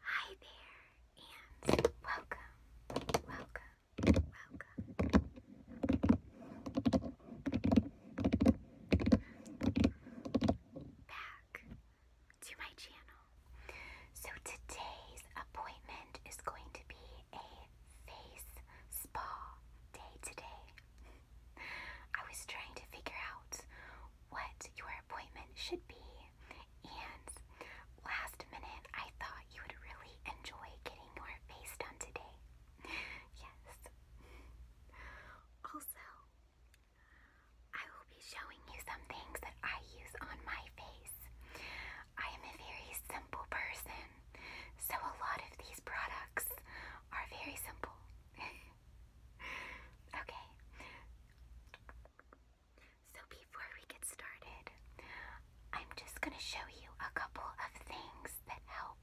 Hi there, and welcome, welcome, welcome back to my channel. So today's appointment is going to be a face spa day today. I was trying to figure out what your appointment should be and last minute, I thought you would really enjoy getting your face done today. yes. Also, I will be showing you some things that I use on my face. I am a very simple person, so a lot of these products are very simple. okay. So before we get started, I'm just going to show you a couple of things that help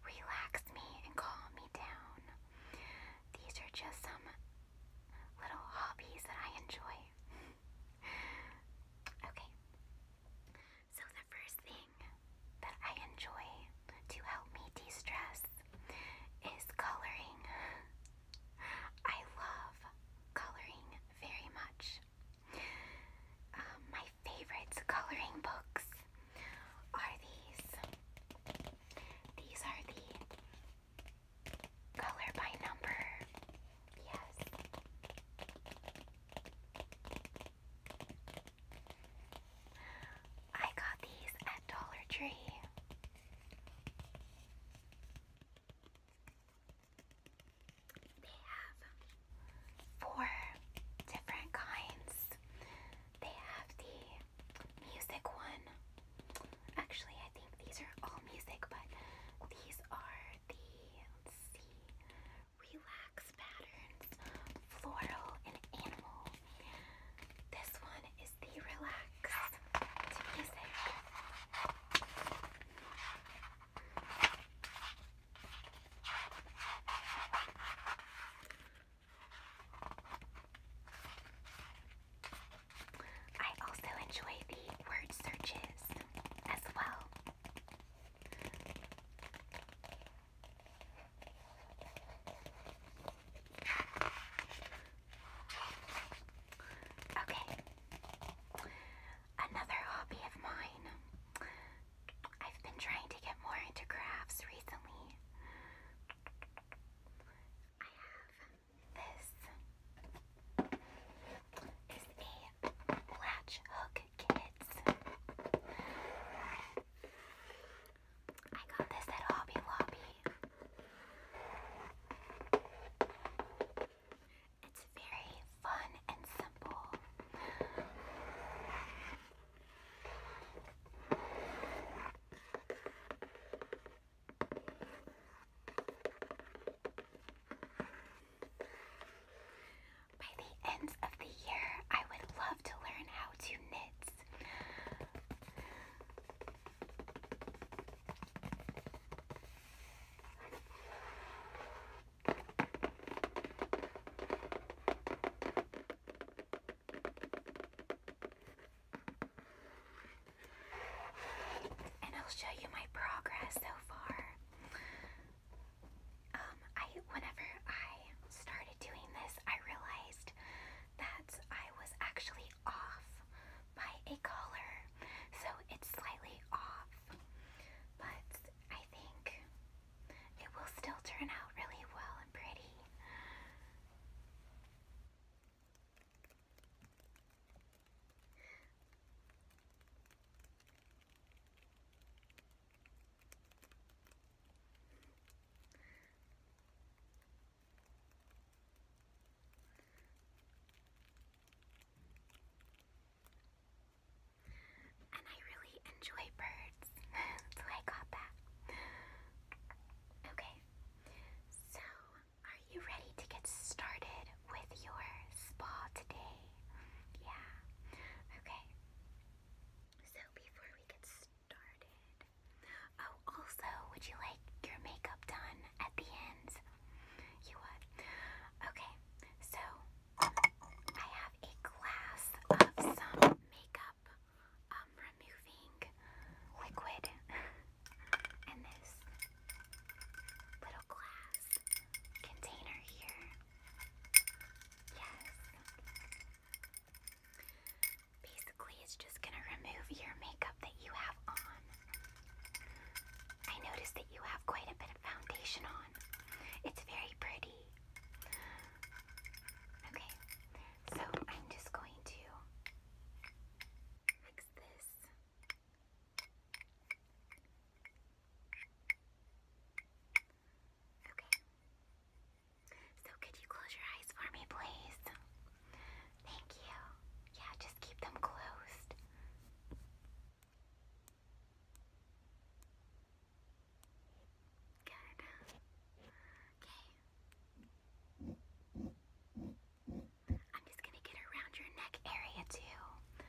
relax me and calm me down. These are just some little hobbies that I enjoy. okay. So the first thing that I enjoy to help me de-stress is coloring. I love coloring very much. Um, my favorite coloring books are these. These are the color by number. Yes. I got these at Dollar Tree. They have four different kinds. They have the music one. Actually, I think these are all music, but these are the, let's see, relax patterns, floral, and animal. This one is relaxed I also enjoy the word searches as well. Okay. Another hobby of mine. I've been trying to get more into crafts recently. I have this is a latch hook kids. I got this at Hobby Lobby. It's very fun and simple. By the end of the year, I would love to learn how to knit. And I'll show you my progress so far. Um, I whenever I started doing this, I realized that I was actually off by a color, so it's slightly off, but I think it will still turn out really well and pretty. And I really enjoy birds, so I got that. Okay, so are you ready to get started with your spa today? Yeah, okay. So before we get started, oh, also, would you like your makeup done at the end? You would. Okay, so I have a glass of some makeup um, removing liquid and this little glass container here. Yes. Basically, it's just gonna remove your makeup that you have on. I noticed that you have quite a bit of foundation on. It's very pretty. Okay, so I'm just going to fix this. Okay. So could you close your eyes for me, please? Thank you. Yeah, just keep them closed. Good. Okay. I'm just gonna get around your neck area too. Okay.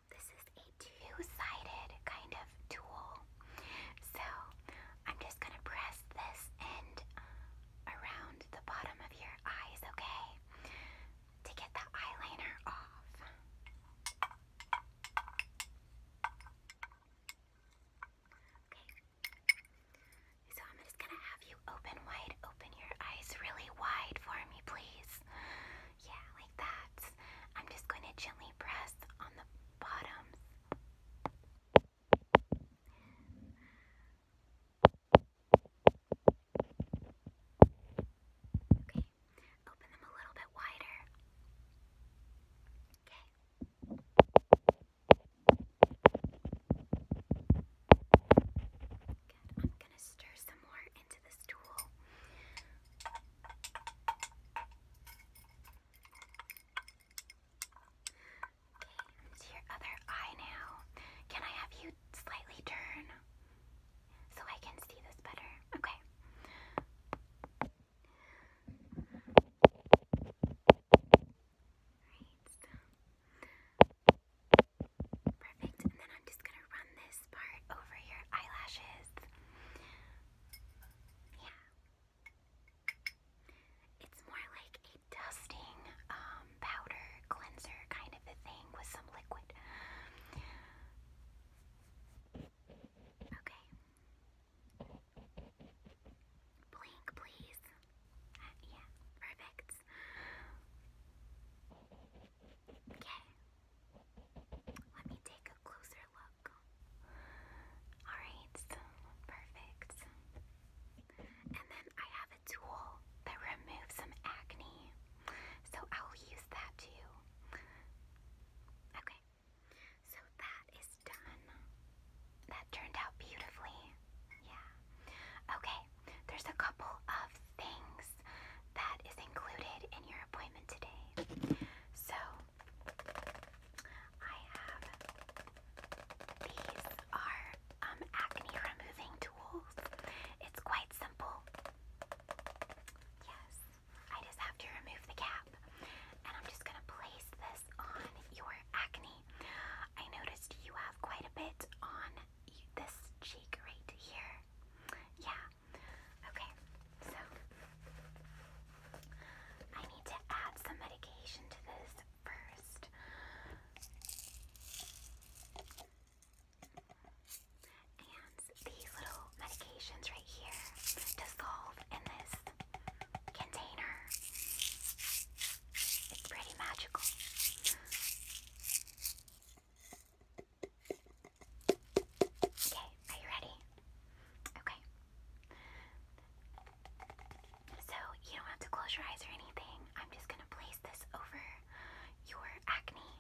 this is a two-sided kind of tool. So I'm just going to press this end around the bottom of your eyes, okay? To get the eyeliner off. Okay. So I'm just going to have you open wide, open your eyes really wide for me, please. Yeah, like that. I'm just going to gently press on the bottoms. Okay, open them a little bit wider. Okay. Good. I'm going to stir some more and Okay, to your other eye now. Can I have you slightly turn so I can see this better? Okay. Right. Perfect. And then I'm just going to run this over your eyelashes. Yeah. It's more like a dusting um, powder cleanser kind of thing with some liquid. Okay. Blink, please. Uh, yeah, perfect. Okay. Let me take a closer look. Alright, perfect. And then I have a tool that removes some acne, so I'll use that too. Okay, so that is done. That turned out beautifully. Yeah. Okay, there's a couple of things that is included in your appointment today. So, I have these are um, acne removing tools. It's quite simple. Yes, I just have to remove the cap, and I'm just gonna place this on your acne. I noticed you have quite a bit on this cheek right here. Yeah, Okay, so I need to add some medication to this first. And these little medications right here dissolve in this container. It's pretty magical. Okay, are you ready? Okay. So, you don't have to close your eyes or anything. I'm just going to place this over your acne. Yeah.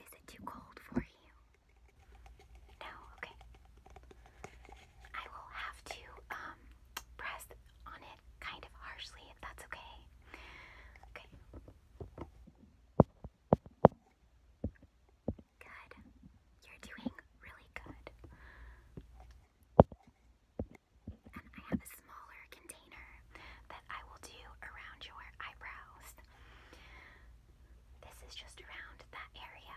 Is it too cold for you? No, okay. I will have to um press on kind of harshly, if that's okay. Okay. Good. You're doing really good. And I have a smaller container that I will do around your eyebrows. This is just around that area.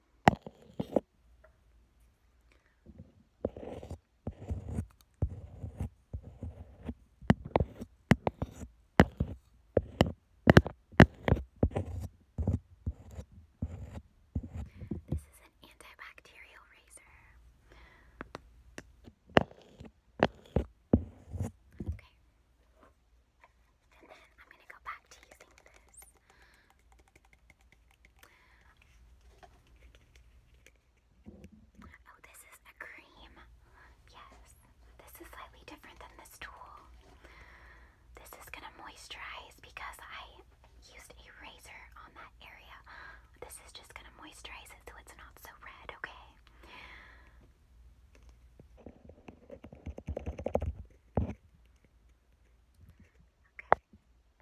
This is an antibacterial razor. Okay. And then I'm going to go back to using this. Oh, this is a cream. Yes, this is slightly different than this tool. This is gonna moisturize because I used a razor on that area. This is just gonna moisturize it so it's not so red, okay?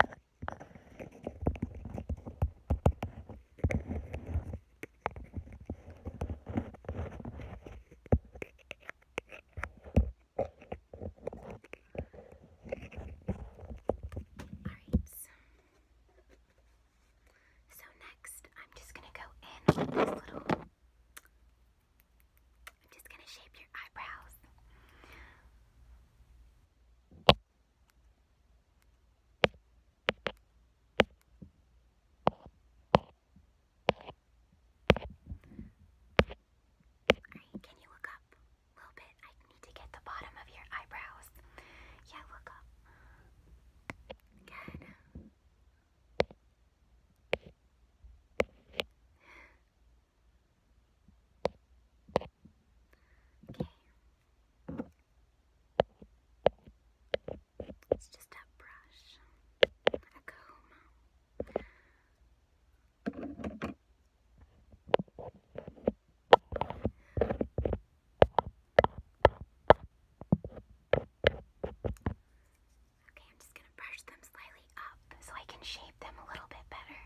Okay. Alright. So next I'm just gonna go in with this little I'm just gonna shape your eyebrows. Right, can you look up a little bit? I need to get the bottom of your eyebrows. Yeah, look up. Good. Okay. It's just a brush, a comb. Okay, I'm just going to brush them slightly so I can shape them a little bit better.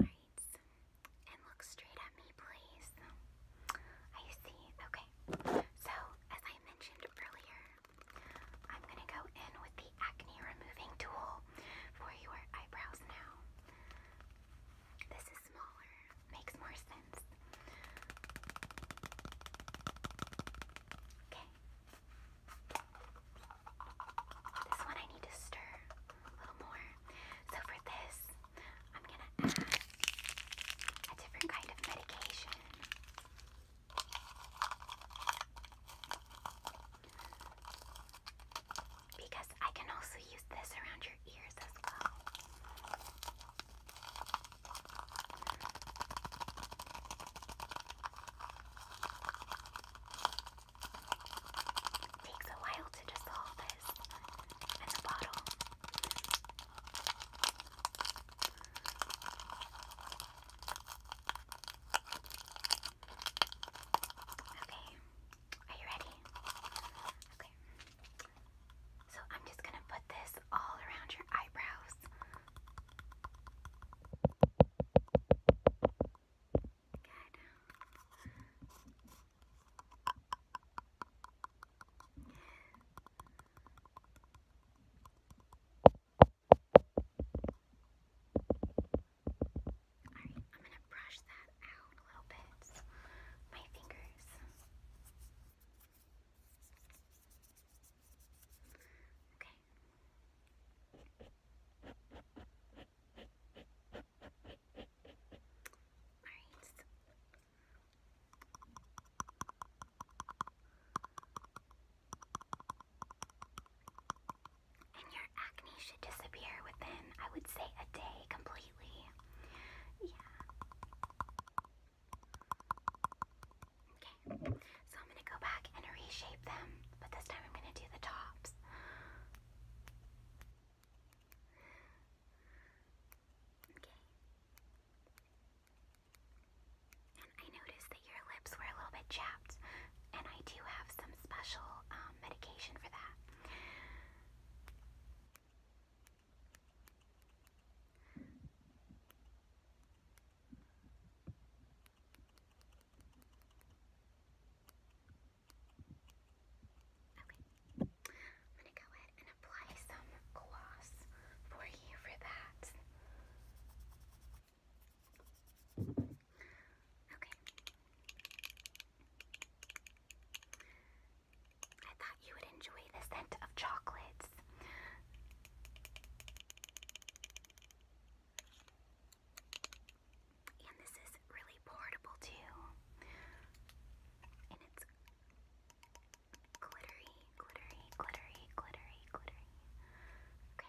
Alright, and look straight at me, please. I see. Okay. So, as I mentioned earlier, I'm going to go in with the acne removing tool for your eyebrows now. This is smaller, makes more sense. Okay. This one I need to stir a little more. So for this, I'm going to add a different kind of medication. Because I can also use this around your ears as well. takes a while to dissolve this in the bottle. Okay, are you ready? Okay. So I'm just gonna put this all around your eyebrows. Alright, I'm going to brush that out a little bit. My fingers. Okay. Alright. And your acne should disappear within, I would say, a day completely. Yeah. Okay, so I'm gonna go back and reshape them, but this time I'm gonna do the tops. Okay. I noticed that your lips were a little bit chapped, and I do have some special um, medication for that. Okay, I'm gonna go ahead and apply some gloss for you for that. Okay. I thought you would enjoy the scent of chocolates. And this is really portable too. And it's glittery, glittery, glittery, glittery, glittery. Okay. Right,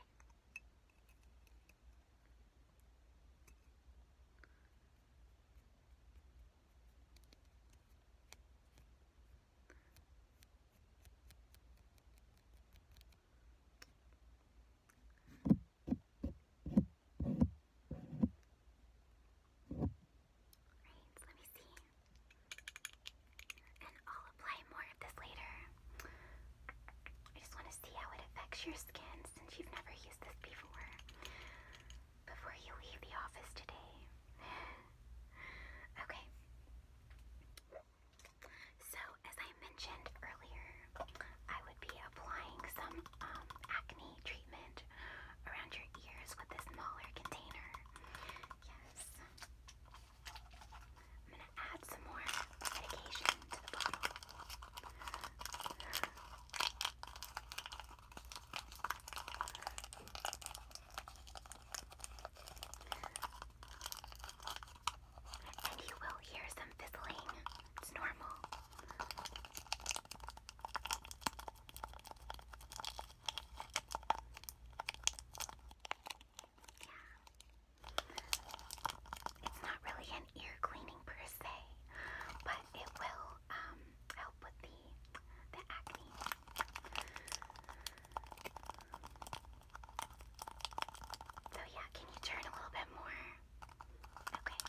let me see. And I'll apply more of this later. I just want to see how it affects your skin since you've never used this before. Before you leave the office today. okay. So, as I mentioned earlier, I would be applying some um, acne treatment around your ears with this smaller container. Yes. I'm going to add some more medication to the bottle. And you will hear some fizzling. It's normal. Yeah. It's not really an ear cleaning per se, but it will um, help with the the acne. So yeah, can you turn a little bit more? Okay.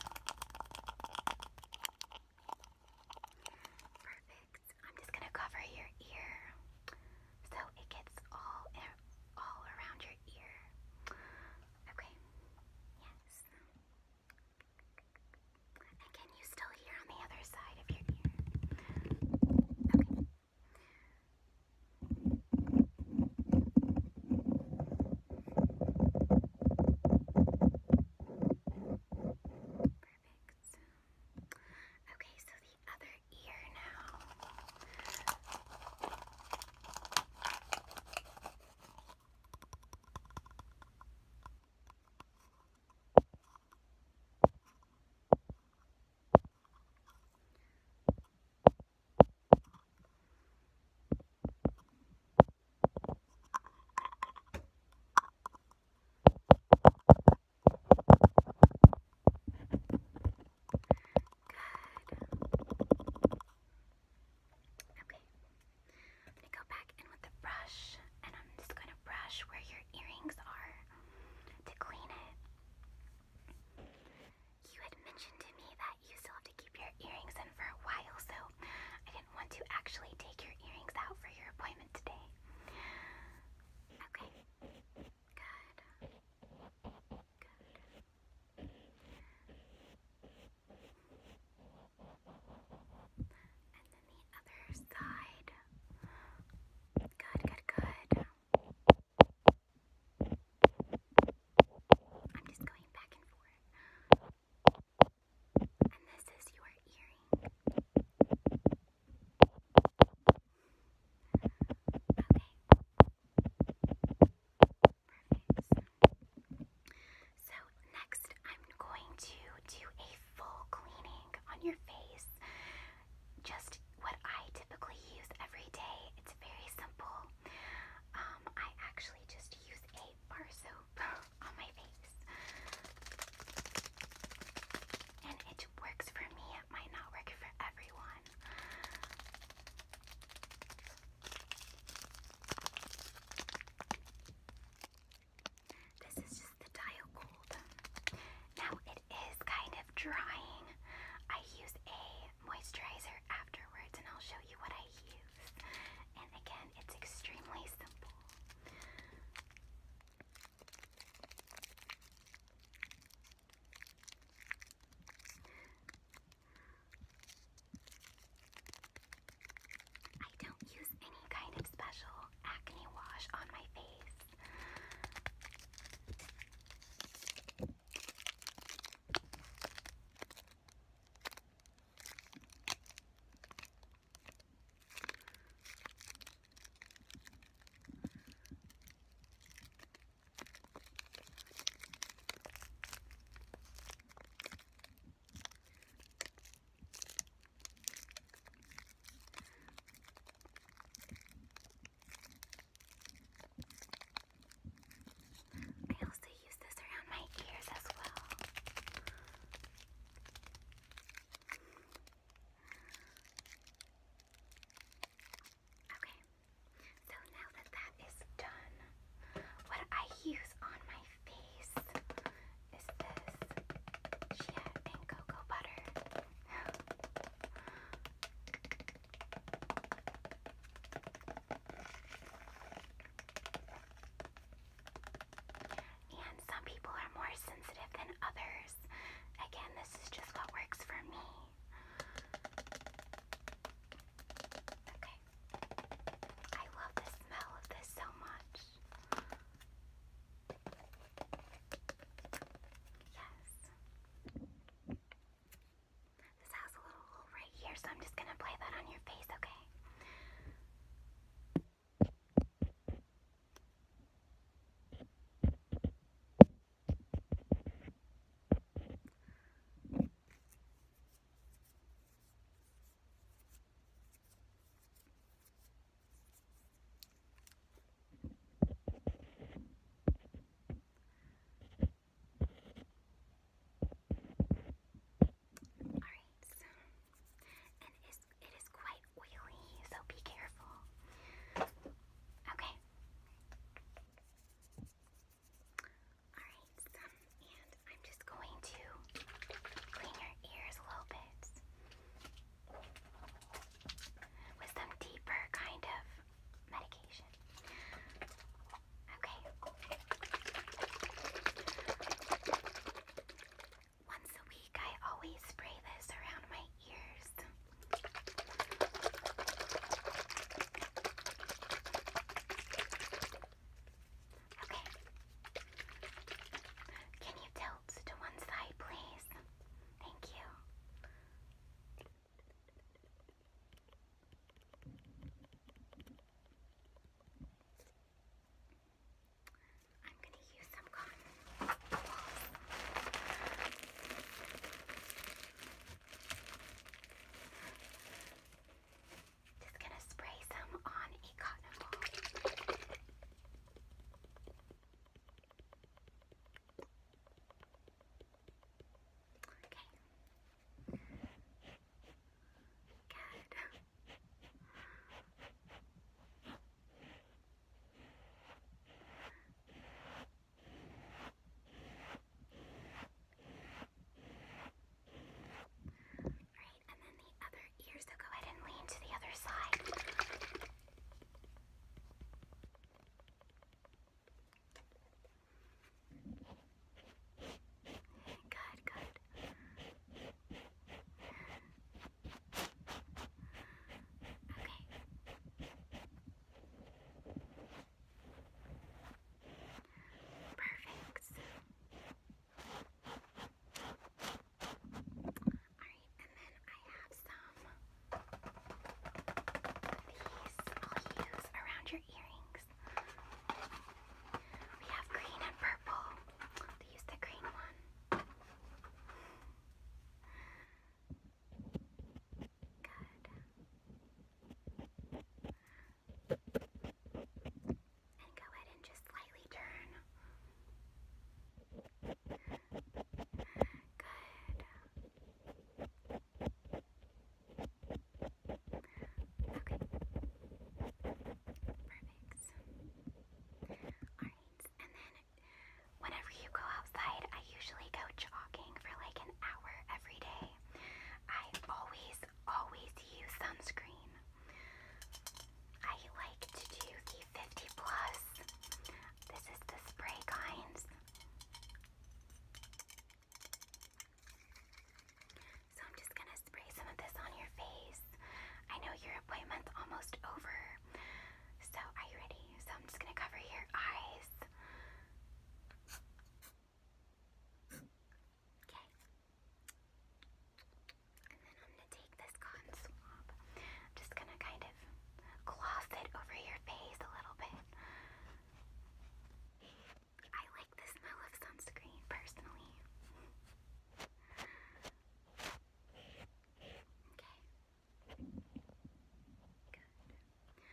Perfect. I'm just gonna cover your ear so it gets all all around your ear. Okay. Yes. And can you still hear on the other side of your ear? Perfect. Okay, so the other ear now. Okay. Okay. i go back in with the brush and I'm just going to brush where your earrings are to clean it. You had mentioned to me that you still have to keep your earrings in for a while, so I didn't want to actually take your earrings out for your appointment today. Okay. Good. Good. And then the other side. Good, good, good. I'm just going back and forth. And this is your earring. So next I'm going to do a full cleaning on your face. Just what I typically use every day. It's very simple. Um, I actually just use a bar soap on my face. And it works for me might not work for everyone. This is just the dial gold. Now it is kind of drying. I use a moisturizer afterwards and I'll show you what I use. And again, it's extremely simple. I don't use any kind of special acne wash on my face. I also use this around my ears as well. Okay. So now that that is done, what I use on my face is this chia and cocoa butter. And some people are more sensitive than others. Again, this is just what works for me. Okay. I love the smell of this so much. Yes. This has a little hole here, so I'm just gonna play that on your face, Okay. Alright, so, and it is, it is quite oily, so be careful. Okay. Alright, um, and I'm just going to clean your ears a little bit with some deeper kind of medication. Okay. Once a week, I always spray this around my ears. Can you tilt to one side, please? Thank you. I'm going to use some cotton just gonna spray some on a cotton ball. Okay. Good. Okay. Right, and then the other ear, so go ahead and lean to the other side. Good, good. Okay. Perfect. Alright, and then I have some of these I'll use around your earrings. We have green and purple. use the green one. Good. And go ahead and just slightly turn. Good. Okay. Perfect. Alright. And then whenever you go outside, I usually go jogging for like an hour every day. I always, always use sunscreen. I like to do the 50 plus. This is the spray kinds. So I'm just gonna spray some of this on your face. I know your appointment's almost over. So are you ready? So I'm just gonna cover your eyes. Okay. And then I'm going to take this cotton swab. I'm just going to kind of gloss it over your face a little bit. I like the smell of sunscreen personally. Okay. Good perfect.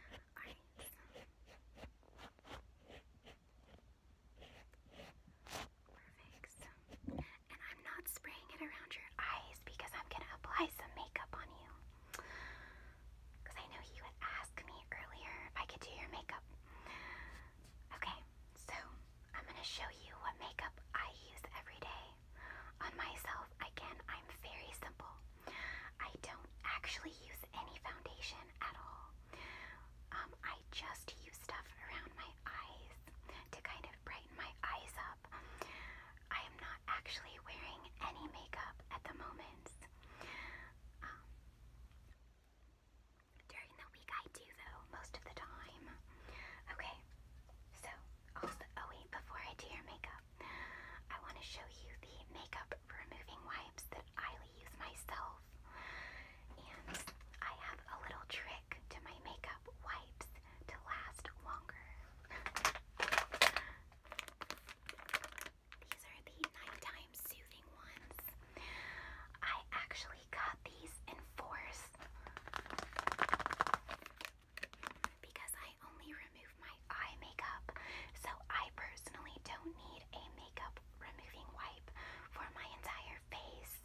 and I'm not spraying it around your eyes because I'm gonna apply some makeup on you. Because I know you would ask me earlier if I could do your makeup. Okay, so I'm gonna show you what makeup I use every day. On myself, again, I'm very simple. I don't actually use any foundation at all. Um, I just use stuff around my eyes to kind of brighten my eyes up. I am not actually wearing any makeup at the moment. Um, during the week, I do though, most of the time. Okay, so oh wait, before I do your makeup, I want to show you the makeup removing wipes that I use myself. And I have a little trick to my makeup wipes to last longer. These are the nighttime soothing ones. I actually got these in force because I only remove my eye makeup. So I personally don't need a makeup removing wipe for my entire face.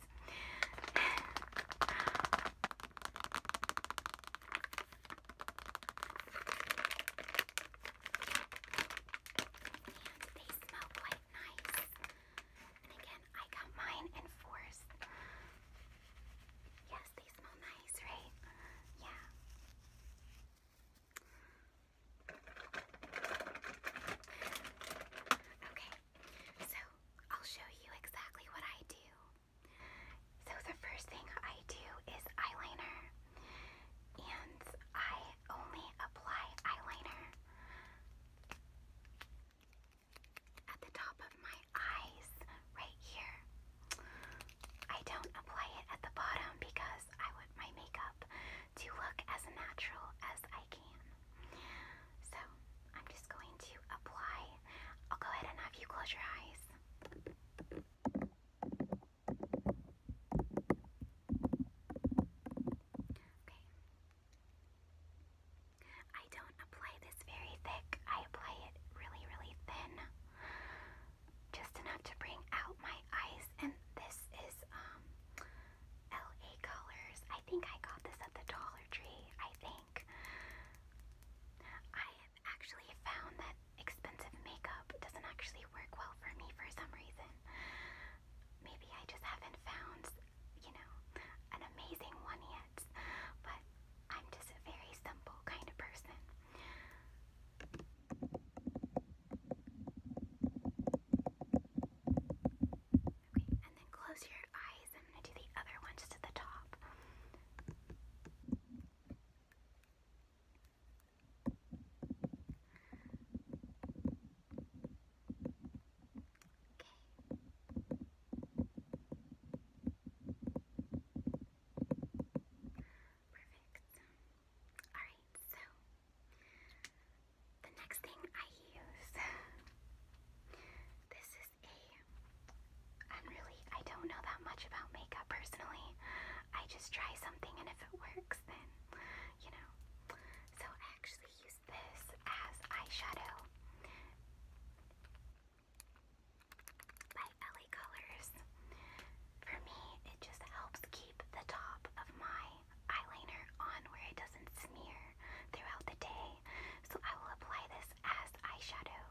And they smell quite nice. And again, I got mine in force. Yes, they smell nice, right? Yeah. Okay, so I'll show you exactly what I do. So the first thing I do is eyeliner. And I only apply eyeliner at the top of my eyes right here. I don't apply it at the bottom because I want my makeup to look as natural as I can. So I'm just going to apply. I'll go ahead and have you close your eyes. Okay. I don't apply this very thick, I apply it really, really thin just enough to bring out my eyes. And this is um, LA Colors. I think I got this at the Dollar Tree, I think. I actually found that expensive makeup doesn't actually work well for me for some reason. Maybe I just haven't found, you know, an amazing one yet. But I'm just a very simple kind of person. Okay, and then close your eyes. I'm going to do the other ones to the top. Okay. Perfect. Alright, so the next thing I use, this is a, I'm really, I don't know that much about makeup personally. I just try something and if it works then, you know. So I actually use this as eyeshadow by LA Colors. For me, it just helps keep the top of my eyeliner on where it doesn't smear throughout the day. So I will apply this as eyeshadow.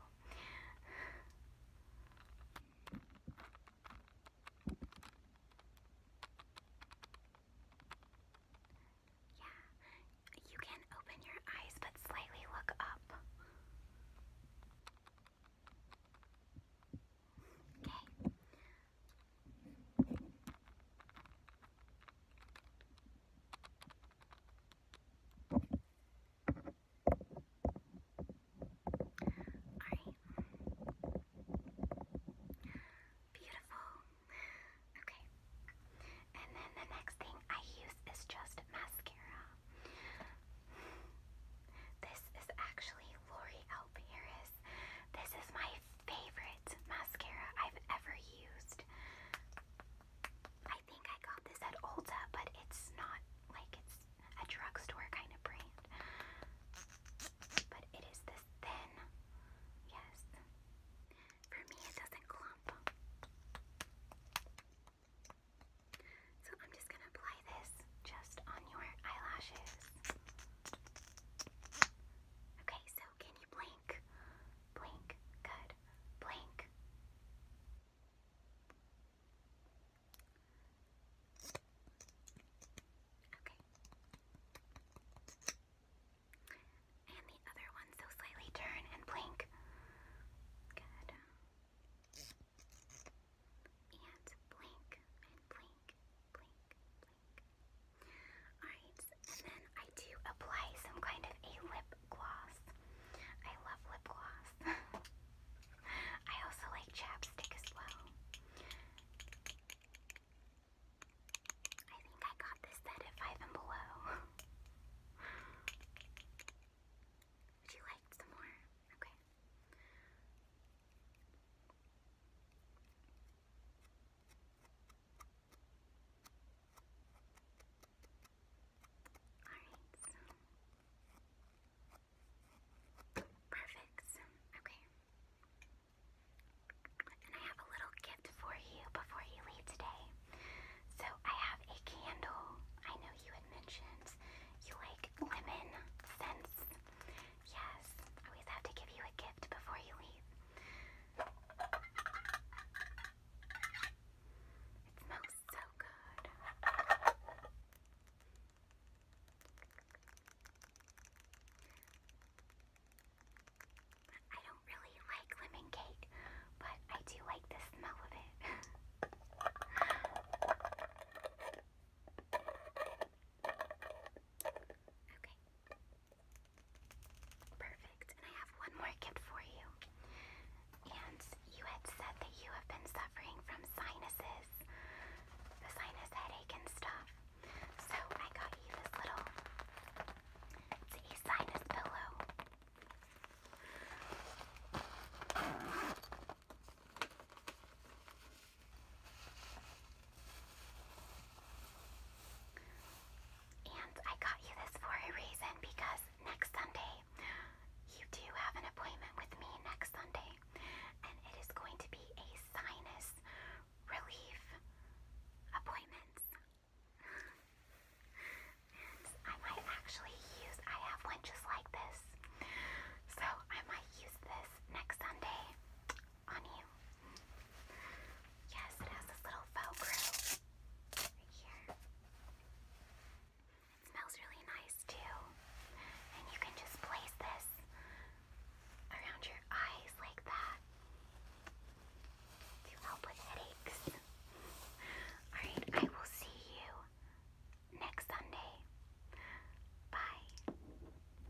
Yeah, you can open your eyes but slightly look up. Okay. Alright. Beautiful. Okay. And then the next thing I use is just mascara. This is actually Lori Paris this. is my favorite mascara I've ever used. I think I got this at Ulta, but it's not like it's a drugstore kind of brand. But it is this thin. Yes. For me, it doesn't clump. So I'm just gonna apply this just on your eyelashes. Okay, so can you blink? Blink. Good. Blink. Okay. And the other one, so slightly turn and blink. Good. And blink and blink, blink, Alright, and then I do apply some kind of a lip gloss. I love lip gloss. I also like chapstick as well. I think I got this set at Five and Below. Would you like some more? Okay. Alright, perfect. okay. And I have a little gift for you before you leave today. So I have a candle. I know you had mentioned you like lemon scents. Yes, I always have to give you a gift before you leave. It smells so good. I don't really like lemon cake, but I do like the smell of it. Okay. Perfect. And I have one more gift for you. And you had said that you have been suffering from sinuses, the sinus headache and stuff. So I got you this little, it's sinus pillow. And I got you this for a reason because next Sunday you do have an appointment with me next Sunday, and it is going to be a sinus relief appointment. and I might actually use, I have one just like this, so I might use this next Sunday on you. Yes, it has this little velcro right here. It smells really nice too. And you can just place this around your eyes like that to help with headaches. Alright, I will see you next Sunday. Bye.